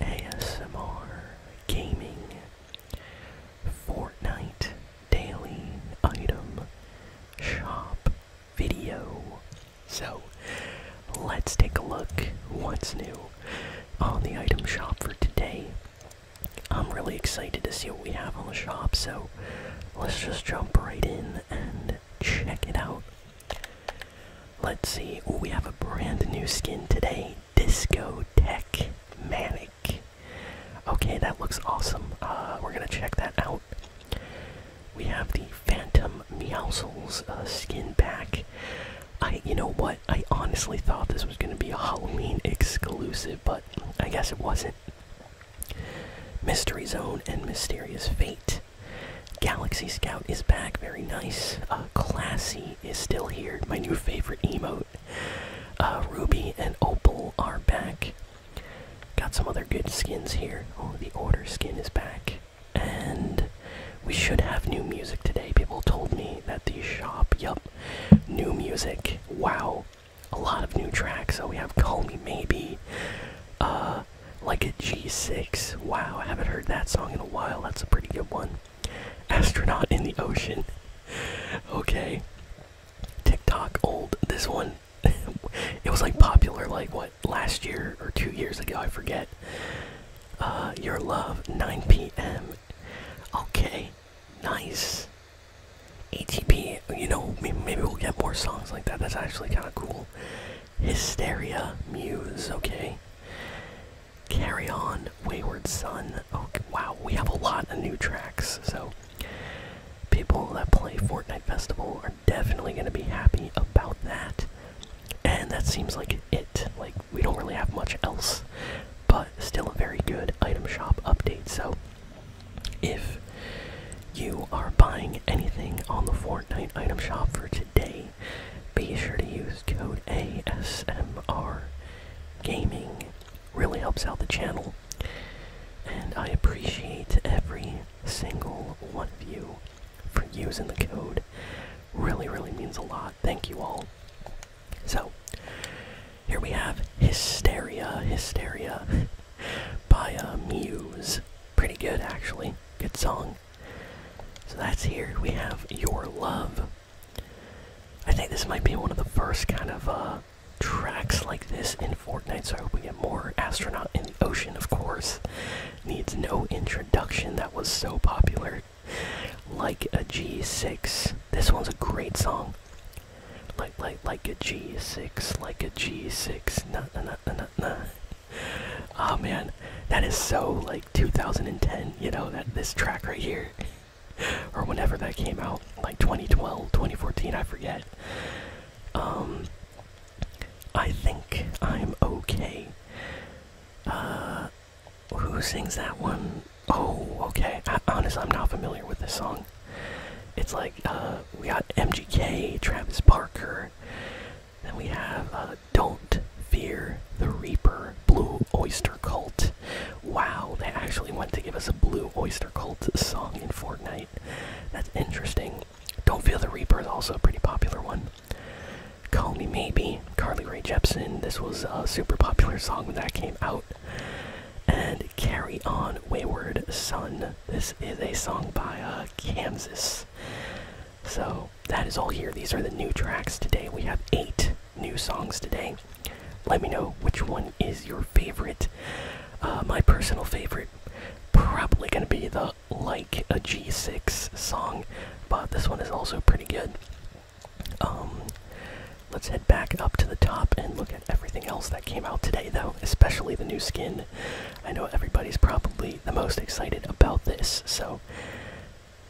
ASMR, gaming, Fortnite, daily item, shop, video. So let's take a look what's new on the item shop for today. I'm really excited to see what we have on the shop, so let's just jump right in and check it out. Let's see, we have a brand new skin today. Discotech Manic. Okay, that looks awesome. Uh, we're gonna check that out. We have the Phantom Meowsles uh, skin pack. I, you know what? I honestly thought this was gonna be a Halloween exclusive, but I guess it wasn't. Mystery Zone and Mysterious Fate. Galaxy Scout is back, very nice. Uh, classy is still here, my new favorite emote. Uh, Ruby and Opal are back. Got some other good skins here. Oh, the Order skin is back. And we should have new music today. People told me that the shop, yup, new music. Wow, a lot of new tracks. So we have Call Me Maybe, uh, like a G6. Wow, I haven't heard that song in a while. That's a pretty good one. Astronaut in the ocean. Okay. TikTok old. This one, it was like popular like what last year or two years ago. I forget. Uh, your love. 9 p.m. Okay. Nice. ATP. You know, maybe we'll get more songs like that. That's actually kind of cool. Hysteria Muse. Okay. Carry On, Wayward Son. Oh, wow, we have a lot of new tracks, so people that play Fortnite Festival are definitely going to be happy about that. And that seems like it. Like, we don't really have much else, but still a very good item shop update. So, if you are buying anything on the Fortnite item shop for today, be sure to use code ASMR Gaming. Really helps out the channel. And I appreciate every single one of you for using the code. Really, really means a lot. Thank you all. So, here we have Hysteria, Hysteria by uh, Muse. Pretty good, actually. Good song. So that's here. We have Your Love. I think this might be one of the first kind of uh, tracks like this in Fortnite, so I hope we get more. Astronaut in the Ocean, of course, needs no introduction. That was so popular. Like a G6. This one's a great song. Like, like, like a G6, like a G6, na na na na na. oh man, that is so like 2010. You know that this track right here, or whenever that came out, like 2012, 2014, I forget. Um, I think I'm okay. Uh, who sings that one? Oh, okay. honestly, I'm not familiar with this song. It's like uh, we got MGK, Travis Parker, then we have uh, Don't Fear the Reaper Blue Oyster Cult. Wow, they actually went to give us a Blue Oyster Cult song in Fortnite. That's interesting. Don't Fear the Reaper is also a pretty popular one. Call Me Maybe, Carly Rae Jepsen. This was a super popular song when that came out. And Carry On Wayward Son. This is a song by uh, Kansas. So that is all here. These are the new tracks today. We have eight new songs today. Let me know which one is your favorite. Uh, my personal favorite, probably going to be the Like a G6 song, but this one is also pretty good. Um, let's head back up to the top and look at everything else that came out today, though, especially the new skin. I know everybody's probably the most excited about this, so go.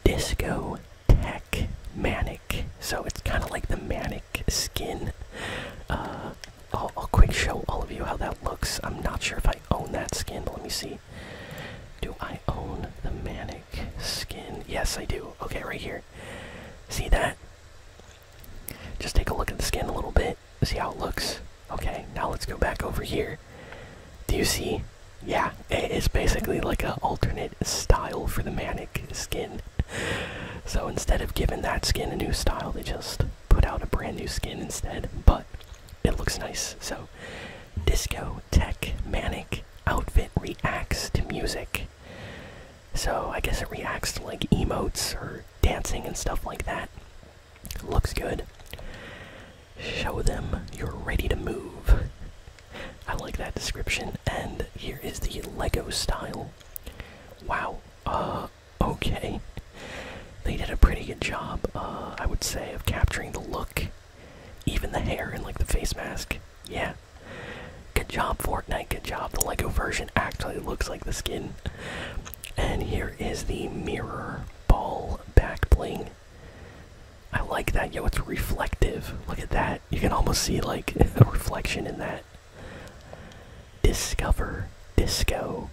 Disco Tech Manic. So it's kind of like the Manic skin. Uh, I'll quick show all of you how that looks. I'm not sure if I own that skin, but let me see. Do I own the Manic skin? Yes, I do. Okay, right here. See that? Just take a look at the skin a little bit, see how it looks. Okay, now let's go back over here. Do you see? Yeah, it is basically like an alternate style for the manic skin. So instead of giving that skin a new style, they just put out a brand new skin instead. But it looks nice. So, disco tech manic outfit reacts to music. So I guess it reacts to like emotes or dancing and stuff like that. Looks good. Show them you're ready to move. I like that description. And here is the Lego style. Wow. Uh, okay. They did a pretty good job, uh, I would say, of capturing the look. Even the hair and, like, the face mask. Yeah. Good job, Fortnite. Good job. The Lego version actually looks like the skin. And here is the mirror ball back bling. I like that. Yo, it's reflective. Look at that. You can almost see like a reflection in that. Discover. Disco.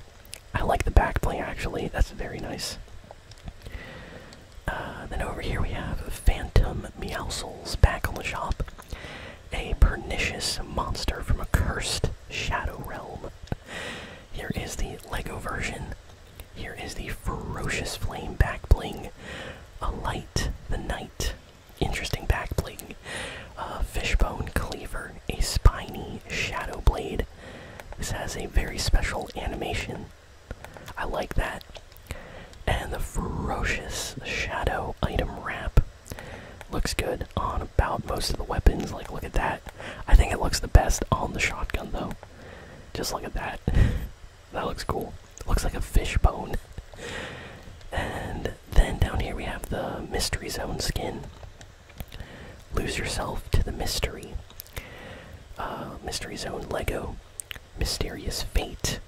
I like the backplane actually. That's very nice. Uh, then over here we have Phantom Meowsles back on the shop. A pernicious monster from a cursed shadow realm. Here is the Lego version. Here is the ferocious flame back bling. light the night. Interesting back bling. Uh, fishbone cleaver, a spiny shadow blade. This has a very special animation. I like that. And the ferocious shadow item wrap. Looks good on about most of the weapons. Like, look at that. I think it looks the best on the shotgun though. Just look at that. that looks cool. looks like a fish bone. and then down here we have the mystery zone skin. Lose yourself to the mystery. Uh, mystery zone Lego. Mysterious fate.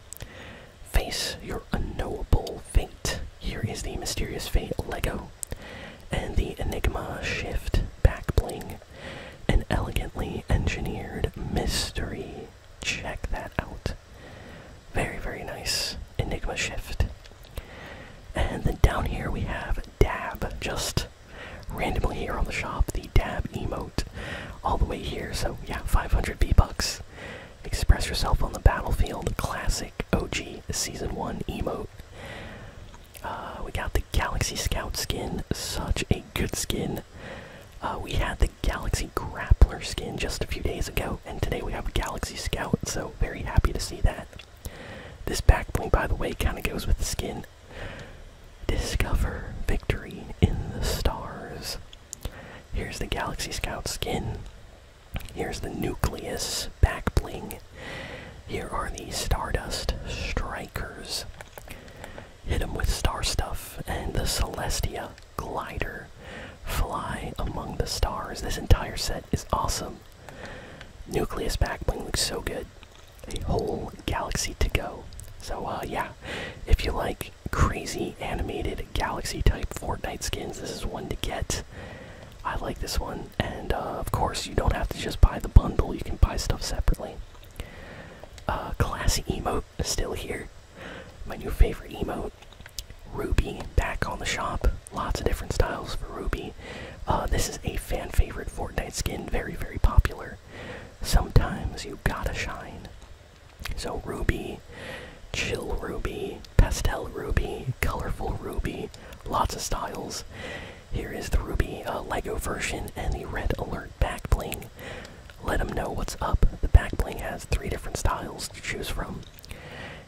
Face your unknowable fate. Here is the mysterious fate Lego and the Enigma Shift back bling. An elegantly engineered mystery. Check that out. Very, very nice. Enigma Shift. And then down here we have Dab, just randomly here on the shop, the Dab emote. All the way here, so yeah, 500 V-Bucks. Express yourself on the battlefield, classic OG Season 1 emote. Uh, we got the Galaxy Scout skin, such a good skin. Uh, we had the Galaxy Grappler skin just a few days ago, and today we have a Galaxy Scout, so very happy to see that. This back bling, by the way, kind of goes with the skin. Discover victory in the stars. Here's the Galaxy Scout skin. Here's the Nucleus back bling. Here are the Stardust Strikers. Hit them with star stuff and the Celestia Glider. Fly among the stars. This entire set is awesome. Nucleus back bling looks so good. A whole galaxy to go. So, uh, yeah, if you like crazy animated galaxy type Fortnite skins, this is one to get. I like this one. And uh, of course, you don't have to just buy the bundle, you can buy stuff separately. Uh, classy emote still here. My new favorite emote. Ruby back on the shop. Lots of different styles for Ruby. Uh, this is a fan favorite Fortnite skin, very, very popular. Sometimes you gotta shine. So, Ruby, Chill Ruby, Pastel Ruby, Colorful Ruby, lots of styles. Here is the Ruby uh, Lego version and the Red Alert back bling. Let them know what's up. The back bling has three different styles to choose from.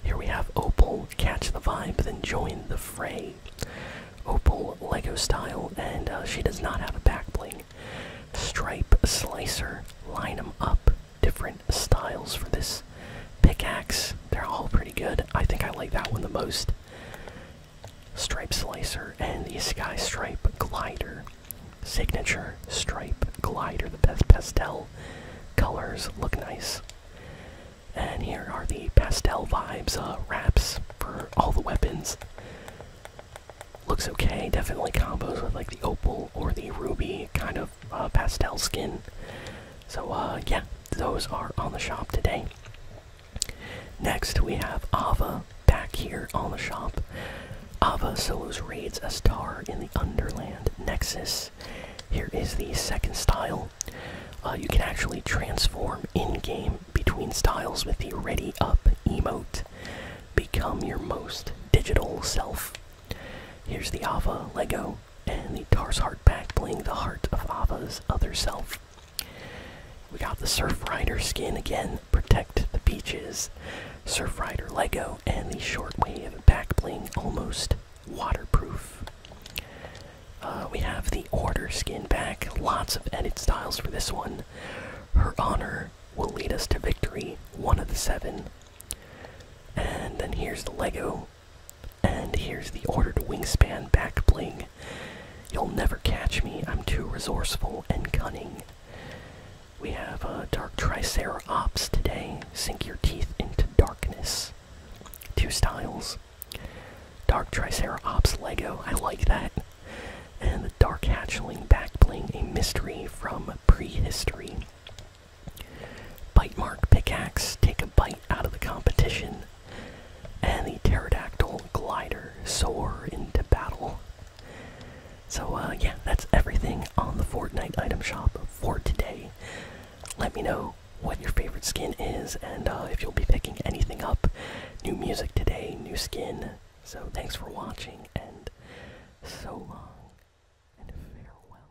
Here we have Opal, catch the vibe, then join the fray. Opal Lego style, and uh, she does not have a back bling. Stripe Slicer, line them up. Different styles for this pickaxe. They're all pretty good. I think I like that one the most. Stripe Slicer and the Sky Stripe Glider. Signature Stripe Glider. The best pastel colors look nice. And here are the pastel vibes uh, wraps for all the weapons. Looks okay, definitely combos with like the opal or the ruby kind of uh, pastel skin. So, uh, yeah, those are on the shop today. Next, we have Ava back here on the shop. Ava solos raids a star in the Underland Nexus. Here is the second style. Uh, you can actually transform in game between styles with the Ready Up emote. Become your most digital self. Here's the Ava Lego and the Tars Heart back bling, the heart of Ava's other self. We got the Surf Rider skin again, protect the beaches, Surf Rider Lego, and the short wave back bling, almost waterproof. Uh, we have the Order skin back, lots of edit styles for this one. Her honor will lead us to victory, one of the seven. And then here's the Lego and here's the ordered wingspan back bling. You'll never catch me, I'm too resourceful and cunning. We have a uh, Dark Tricerops today. Sink your teeth into darkness. Two styles. Dark Tricerops Lego, I like that. And the Dark Hatchling back bling, a mystery from prehistory. Bite Mark Pickaxe, take a bite out of the competition. And the Pterodactyl Glider, soar into battle. So, uh, yeah, that's everything on the Fortnite item shop for today. Let me know what your favorite skin is and uh, if you'll be picking anything up. New music today, new skin. So, thanks for watching and so long and farewell.